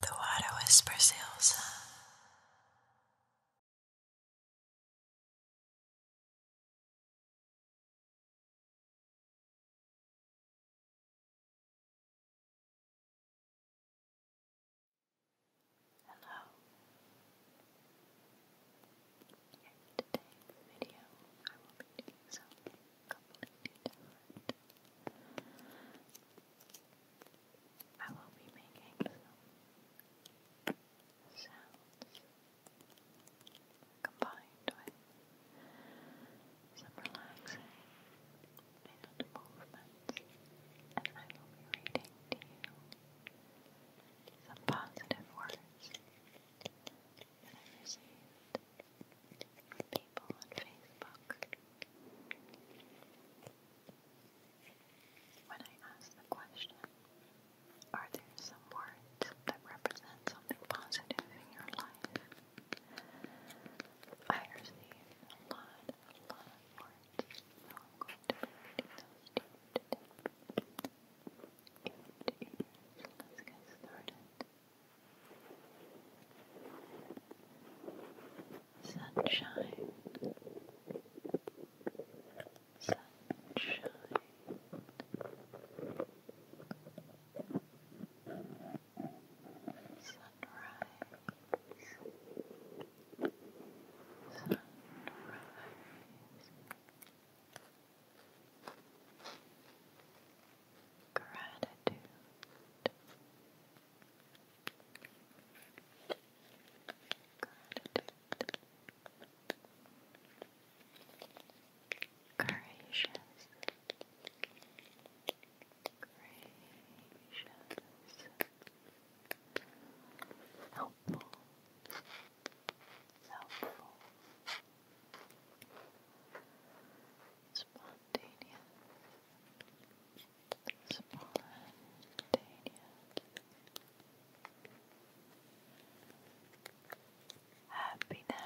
The water whispers Elsa. Hello. today's video, I will be doing some completely I will be making sounds combined with some relaxing and movements, and I will be reading to you some positive words that I received people on Facebook. When I ask the question, are there some words that represent something positive in your life? I receive a lot, a lot of words, so I'm going to be reading those to you today. Ear to ear, so let's get started. Sunshine, sunshine. Sunrise, sunrise gratitude. Gratitude. Gracious. Gracious. Helpful. Helpful. Spontaneous. Spontaneous. Happiness.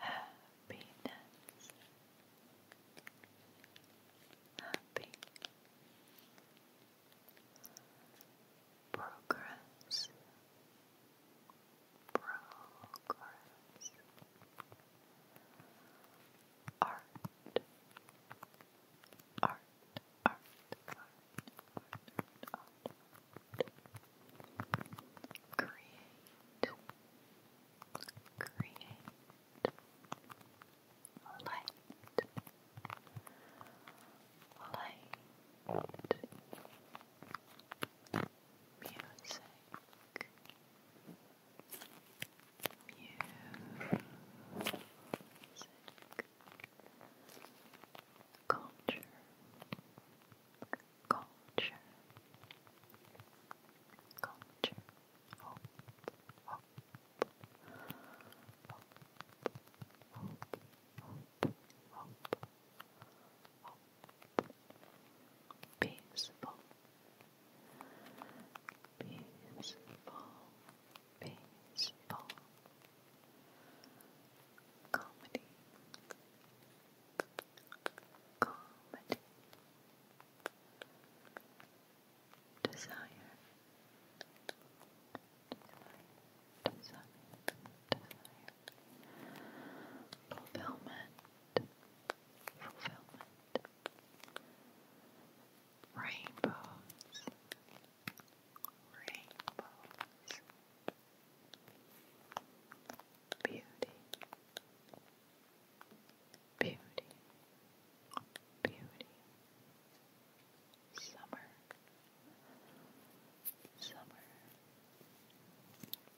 Happiness. Happy progress, progress, art, art, art, art, art, art, create, create, light, light, music, music, culture, culture, culture, hope, hope, hope, hope, hope, hope peaceful, peaceful, peaceful comedy, comedy, desire desire, desire, fulfillment, fulfillment, rainbows, rainbows, beauty, beauty. Beauty, summer, summer,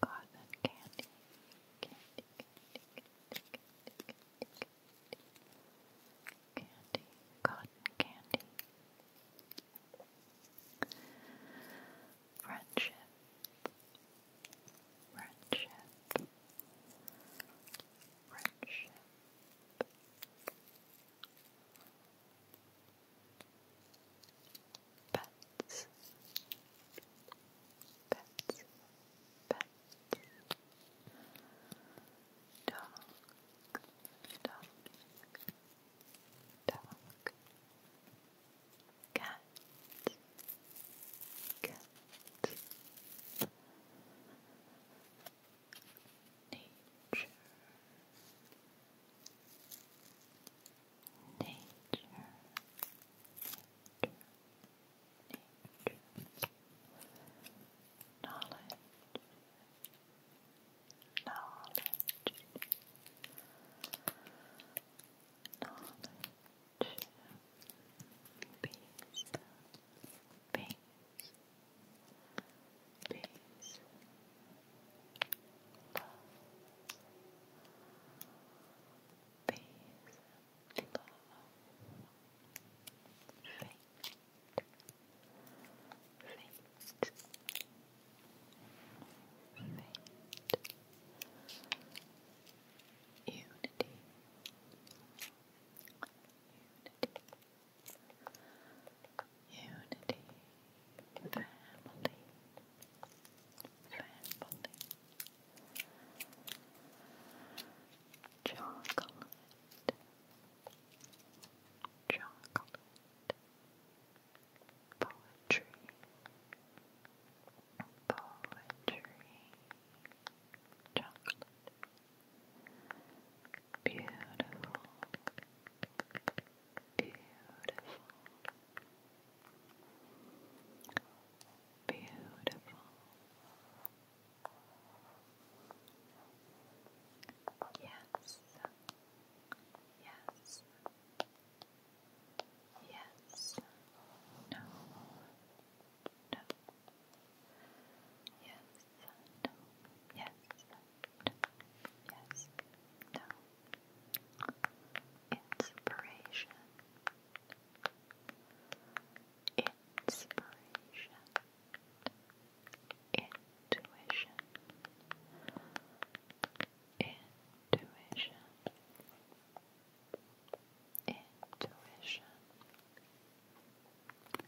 cotton candy, candy, cotton candy, friendship, friendship. Friendship, Pets. Pets. Pets. Dog. Dog. Dog. Cat. Cat nature, nature, nature, nature, knowledge, knowledge, knowledge, peace. Peace, Pace. Pace. Love. Love. Fate. Fate. Fate. Unity. Unity. Unity, family, family, chocolate, chocolate, poetry, poetry, chocolate. Beautiful. Beautiful. Beautiful. Yes. Yes. Yes. No. No. Yes yes, no. Inspiration. Inspiration. Intuition. Intuition. Intuition.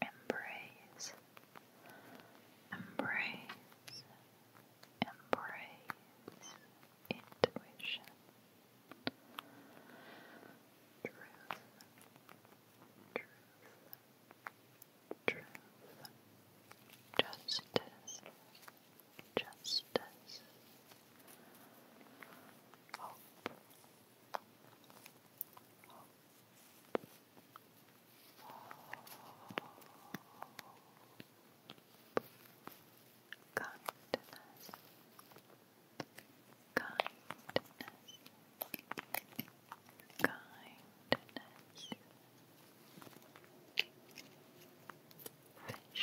Embrace, embrace, embrace intuition, truth, truth, truth, justice, justice, hope, Kindness, kindness, kindness. Fish,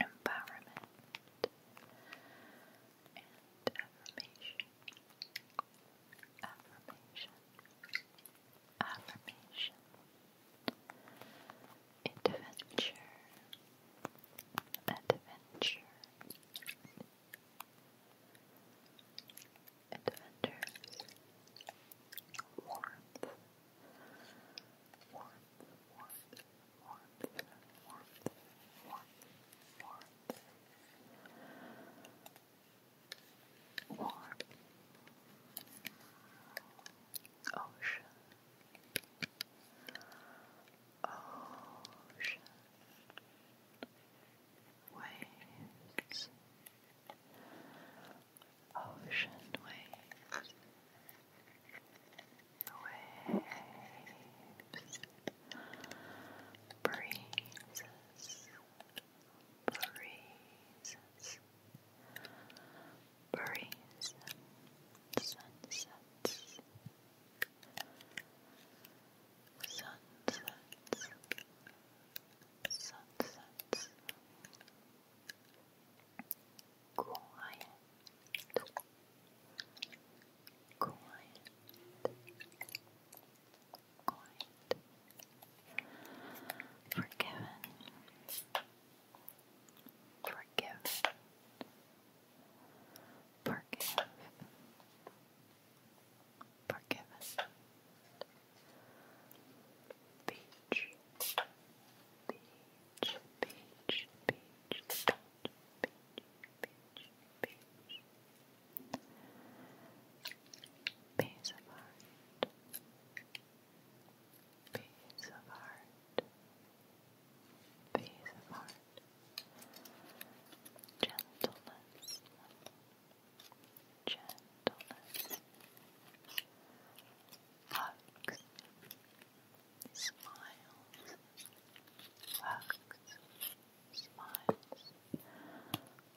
empowerment, and affirmation. Affirmation. Affirmation. Adventure. Adventure. Adventures. Warmth warmth, warmth, warmth, warmth, warmth, warmth. Warm ocean, ocean waves, ocean waves, waves, breezes, breezes, breeze, sunsets, sunsets. Sunsets, quiet, quiet, quiet, forgiven, forgive, forgive, forgiven, be beach, beach, beach, beach, beach, beach, Peace of heart, peace of heart, peace of heart, gentleness, gentleness, hugs, smiles, hugs, smiles,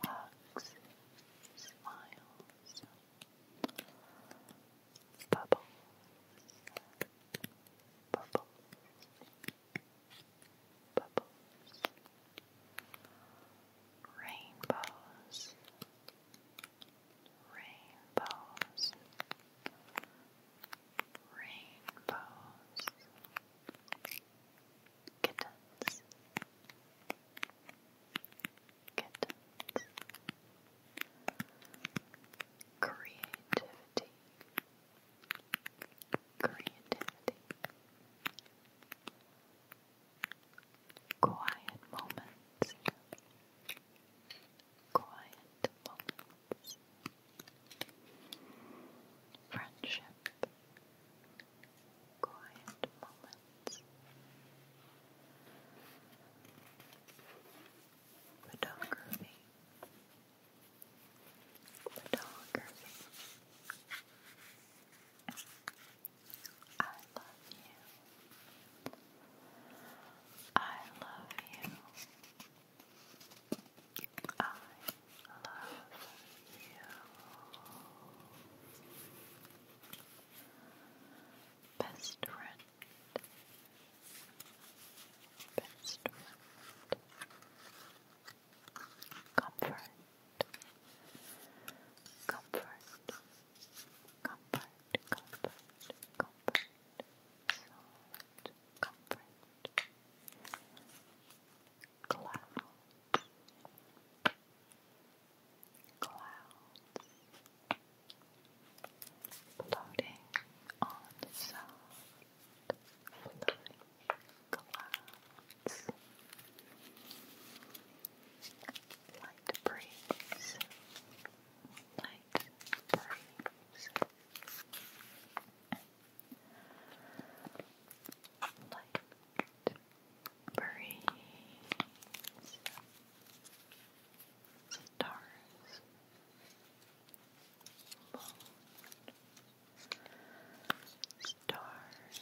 hugs, smiles, bubbles, bubbles, bubbles, rainbows, rainbows, rainbows, kittens, kittens, creativity, creativity quiet moments, quiet moments, friendship, quiet moments. Photography, photography, I love you. I love you. I love you. Best friend. Best friend. Comfort. Comfort comfort, comfort, comfort, solid comfort, clouds, clouds, floating on soft, floating clouds light breeze, light breeze, light breeze, stars, stars.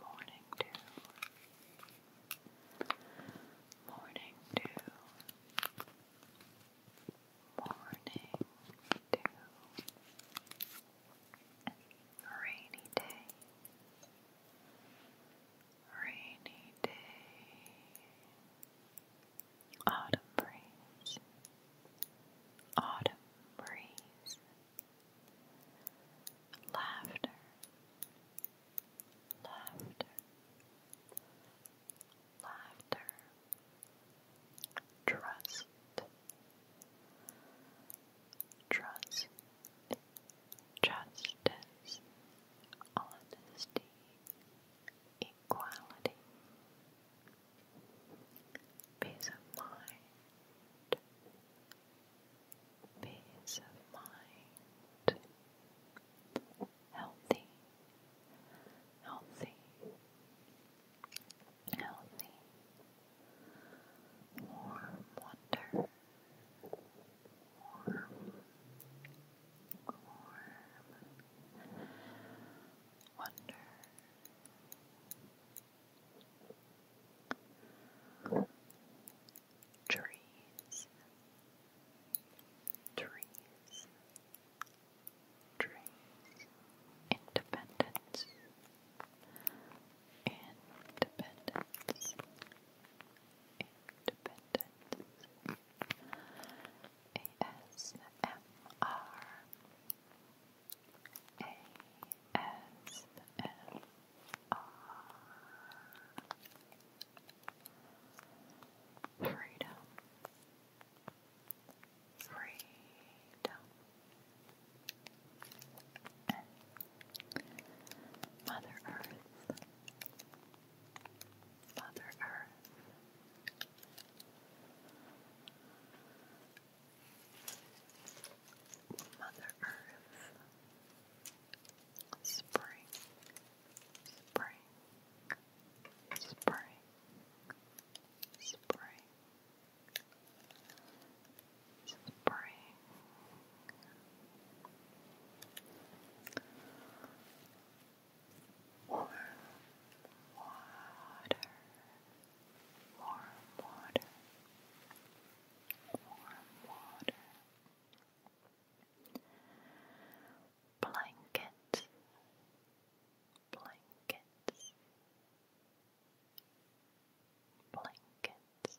Morning dew. Morning dew. Morning dew. Rainy day. Rainy day. Autumn breeze. Autumn breeze. Laughter, laughter, laughter, trust, trust, justice, honesty, equality, peace of mind peace of mind, healthy, healthy, healthy, warm wonder, warm, warm wonder. Trees, trees, trees, independence, independence, independence, ASMR. ASMR Freedom Freedom Mother Earth Mother Earth Mother Earth, spring, spring, spring, spring, spring. Warm water, warm water, warm water, blankets, blankets, blankets.